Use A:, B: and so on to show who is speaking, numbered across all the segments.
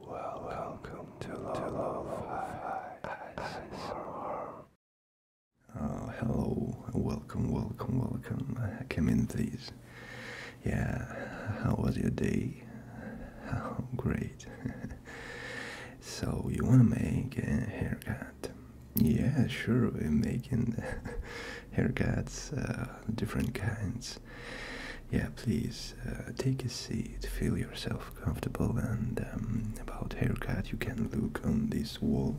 A: Well, welcome to Love Oh, hello, welcome, welcome, welcome, communities. Yeah, how was your day? Oh, great. so, you wanna make a haircut? Yeah, sure, we're making haircuts, uh, different kinds. Yeah, please uh, take a seat, feel yourself comfortable, and um, about haircut, you can look on this wall.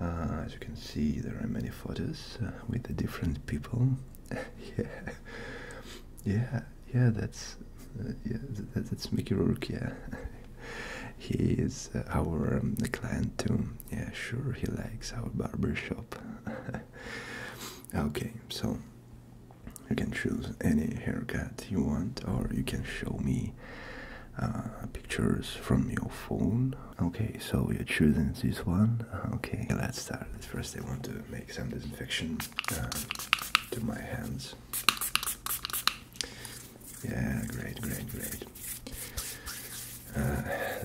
A: Uh, as you can see, there are many photos uh, with the different people. yeah, yeah, yeah. That's yeah, that's Mickey Rourke. Yeah, he is our um, client too. Yeah, sure, he likes our barber shop. okay, so you can choose any haircut you want, or you can show me uh, pictures from your phone. Okay, so we are choosing this one. Uh, okay, let's start. First, I want to make some disinfection uh, to my hands. Yeah, great, great, great.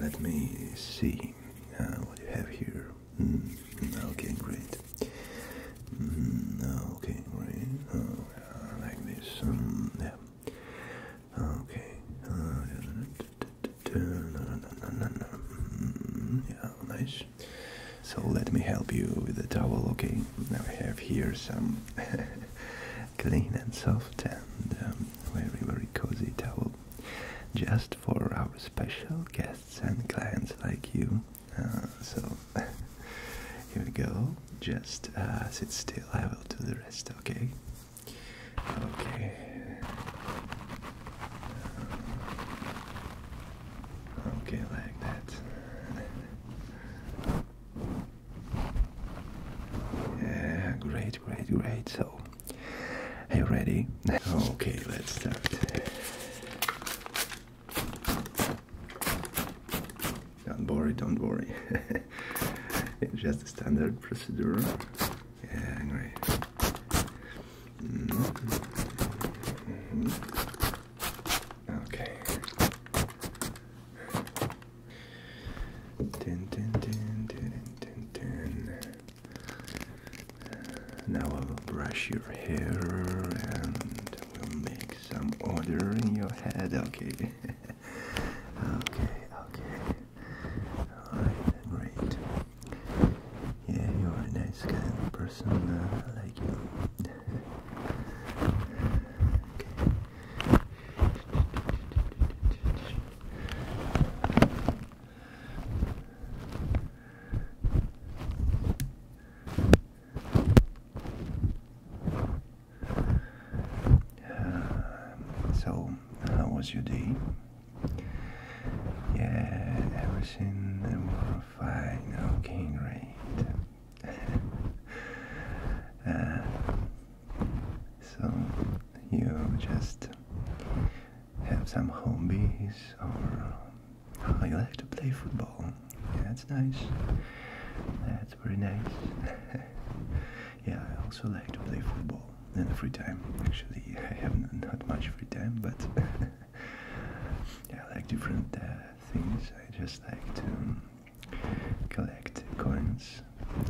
A: let me see what you have here. Mm-hmm. okay, great. Mm-hmm. okay, right. Oh, like this. Mm, yeah. Okay. Mm-hmm. yeah, nice. So let me help you with the towel, okay? Now we have here some clean and soft and um, very, very cozy towel just for our special guests and clients like you. Uh, so here we go. Just uh, sit still. I will do the rest. Okay. Okay. Uh, okay, like that. Yeah, great, great, great. So are you ready? Okay, let's start. Don't worry, don't worry. just a standard procedure. Yeah, great. Mm-hmm. Okay. Now I'll brush your hair and we'll make some order in your head. Okay. okay, okay. Alright, great. Yeah, you're a nice kind person. I like you. okay. so, how was your day? Yeah, everything was fine. Okay, great. Uh, so you just have some hobbies or oh, you like to play football. that's nice. That's very nice. yeah, I also like to play football in the free time. Actually, I have not much free time, but I like different uh, things. I just like to collect coins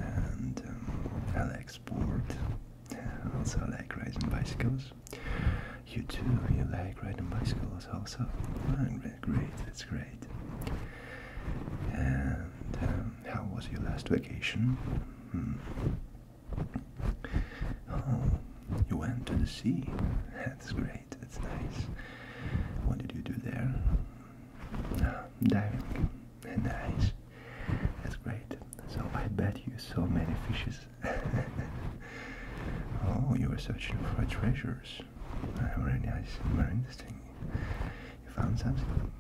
A: and um, I like sport also like riding bicycles. You too, you like riding bicycles also. Great, that's great. And um, how was your last vacation? Hmm. Oh, you went to the sea. That's great, that's nice. What did you do there? diving and nice. That's great. So I bet you saw many fishes. oh, you were searching for treasures. very nice, very interesting. You found something?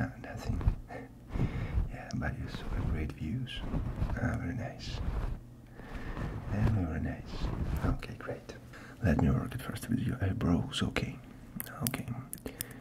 A: Ah, nothing. yeah, but you saw great views. Ah, very nice. very nice. Okay, great. Let me work it first with your eyebrows, uh, okay? Okay.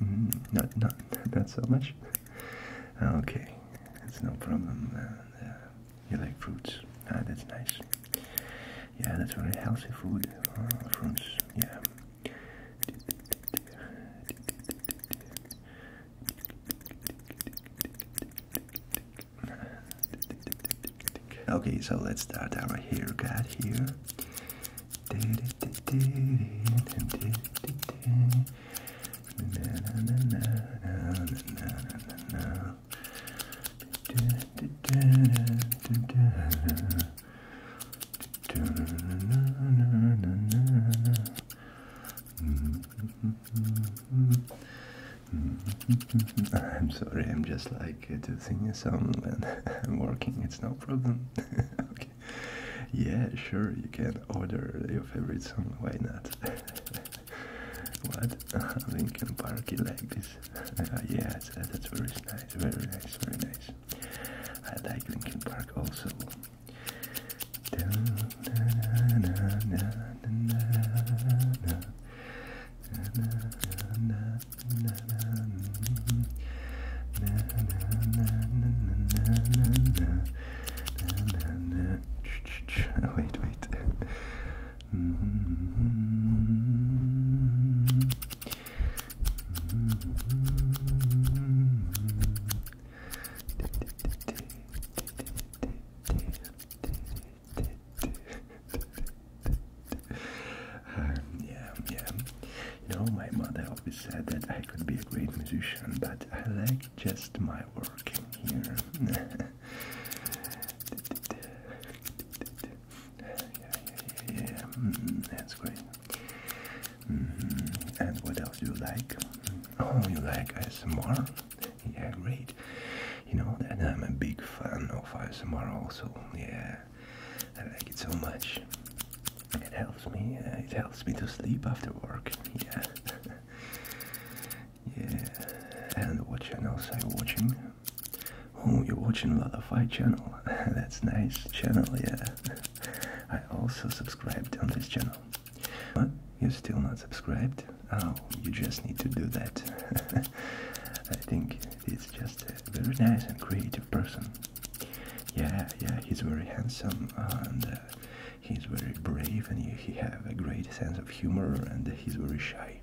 A: Mm, not, not, not so much. Okay, that's no problem. Uh, uh, you like fruits? Ah, that's nice. Yeah, that's very healthy food. Uh, fruits, yeah. Okay, so let's start here. haircut here. I'm sorry, I'm just like uh, to sing a song when I'm working, it's no problem. okay yeah, sure, you can order your favorite song, why not? what? Linkin Park, you like this? yeah, that's very nice, very nice, very nice. I like Linkin Park also wait, wait. Um, yeah, yeah. You know, my mother always said that I could be a great musician, but I like just my work here. yeah, yeah, yeah, mm, that's great. Mm-hmm. And what else do you like? Oh, you like ASMR? Yeah, great. You know that I'm a big fan of ASMR also. Yeah, I like it so much. It helps me. Uh, it helps me to sleep after work. Yeah. yeah. And what channels are you watching? Oh, you're watching a lot of channel. That's nice channel. Yeah. I also subscribed on this channel. What? You're still not subscribed? Oh, you just need to do that. I think He's just a very nice and creative person. Yeah, yeah, he's very handsome and uh, he's very brave and he have a great sense of humor and he's very shy.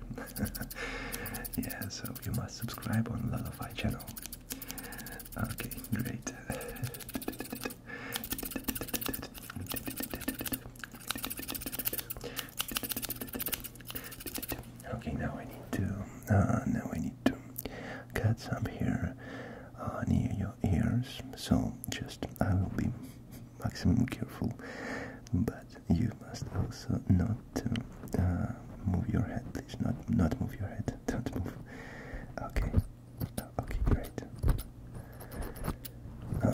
A: yeah, so you must subscribe on Lullaby channel. Okay, great. Okay, now I need to. Uh, now I need to cut some here uh, near your ears. So just I will be maximum careful, but you must also not uh, move your head. Please not not move your head. Don't move. Okay. Okay, great.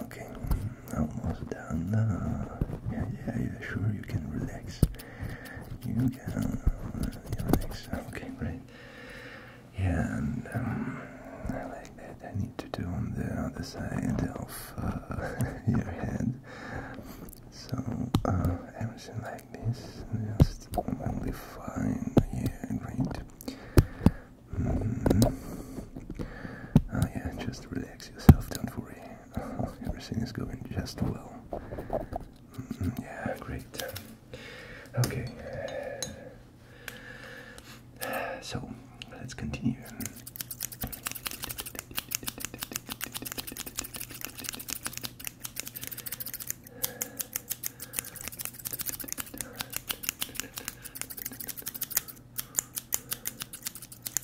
A: Okay, almost done. Uh, yeah, yeah, yeah, sure, you can relax. You Okay, great. Yeah, and um, I like that. I need to do on the other side of uh, your head. So uh, everything like this, just only fine. Yeah, great. Oh yeah, just relax yourself. Don't worry. Everything is going just well. Mm, yeah, great. Okay. So, let's continue.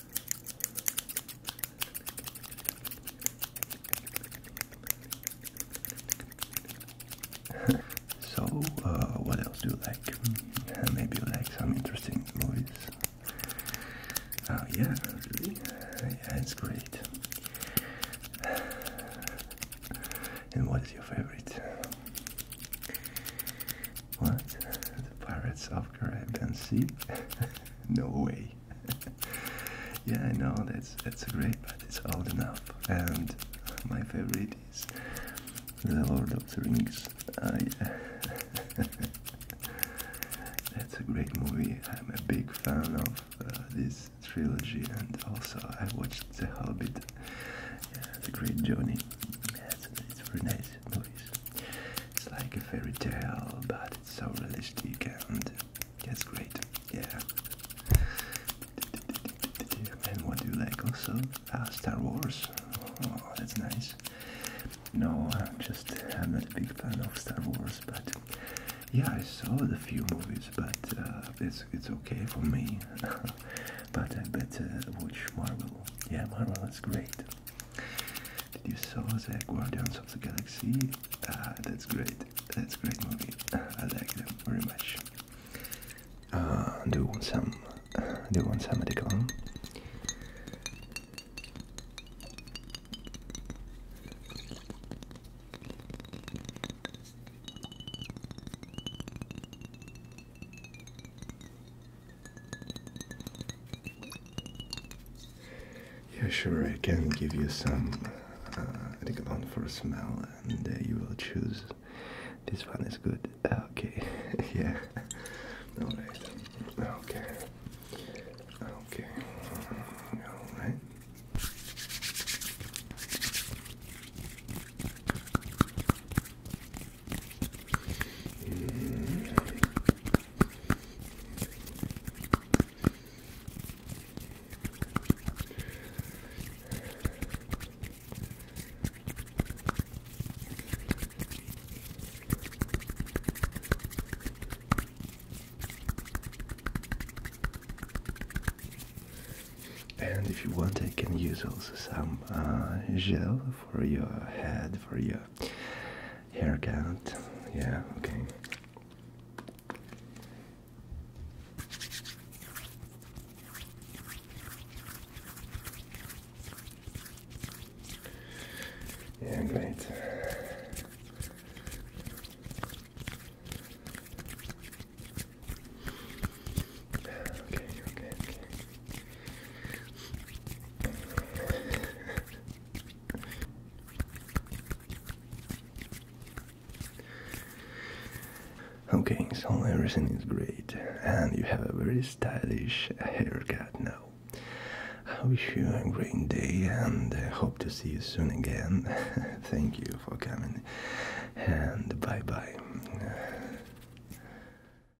A: so, uh, what else do you like? Mm, maybe you like some interesting movies. Oh yeah, that's great. And what is your favorite? What? The Pirates of Caribbean Sea? no way. yeah, I know that's that's great, but it's old enough. And my favorite is The Lord of the Rings. Uh, yeah. that's a great movie. I'm a big fan of uh, this trilogy, and also I watched The Hobbit. Yeah, it's great journey. Yeah, very nice movies. It's like a fairy tale, but so realistic and that's great. Yeah. And what do you like also? Ah, Star Wars. Oh, that's nice. No, I'm just I'm not a big fan of Star Wars, but yeah, I saw the few movies, but uh, it's it's okay for me. but I better watch Marvel. Yeah, Marvel is great. Did you saw the Guardians of the Galaxy? Ah, that's great. That's great movie. I like them very much. Uh, do you want some? Uh, do you want some Adecon? Yeah, sure, I can give you some uh, Decathlon for a smell, and uh, you will choose. This one is good. Ah, okay, yeah. Alright. Okay. Okay. Alright. And if you want, I can use also some uh, gel for your head, for your haircut. Yeah, okay. Yeah, great. Okay, okay, okay. Okay, so everything is great, and you have a very stylish haircut now. I wish you a great day and hope to see you soon again. Thank you for coming, and bye bye.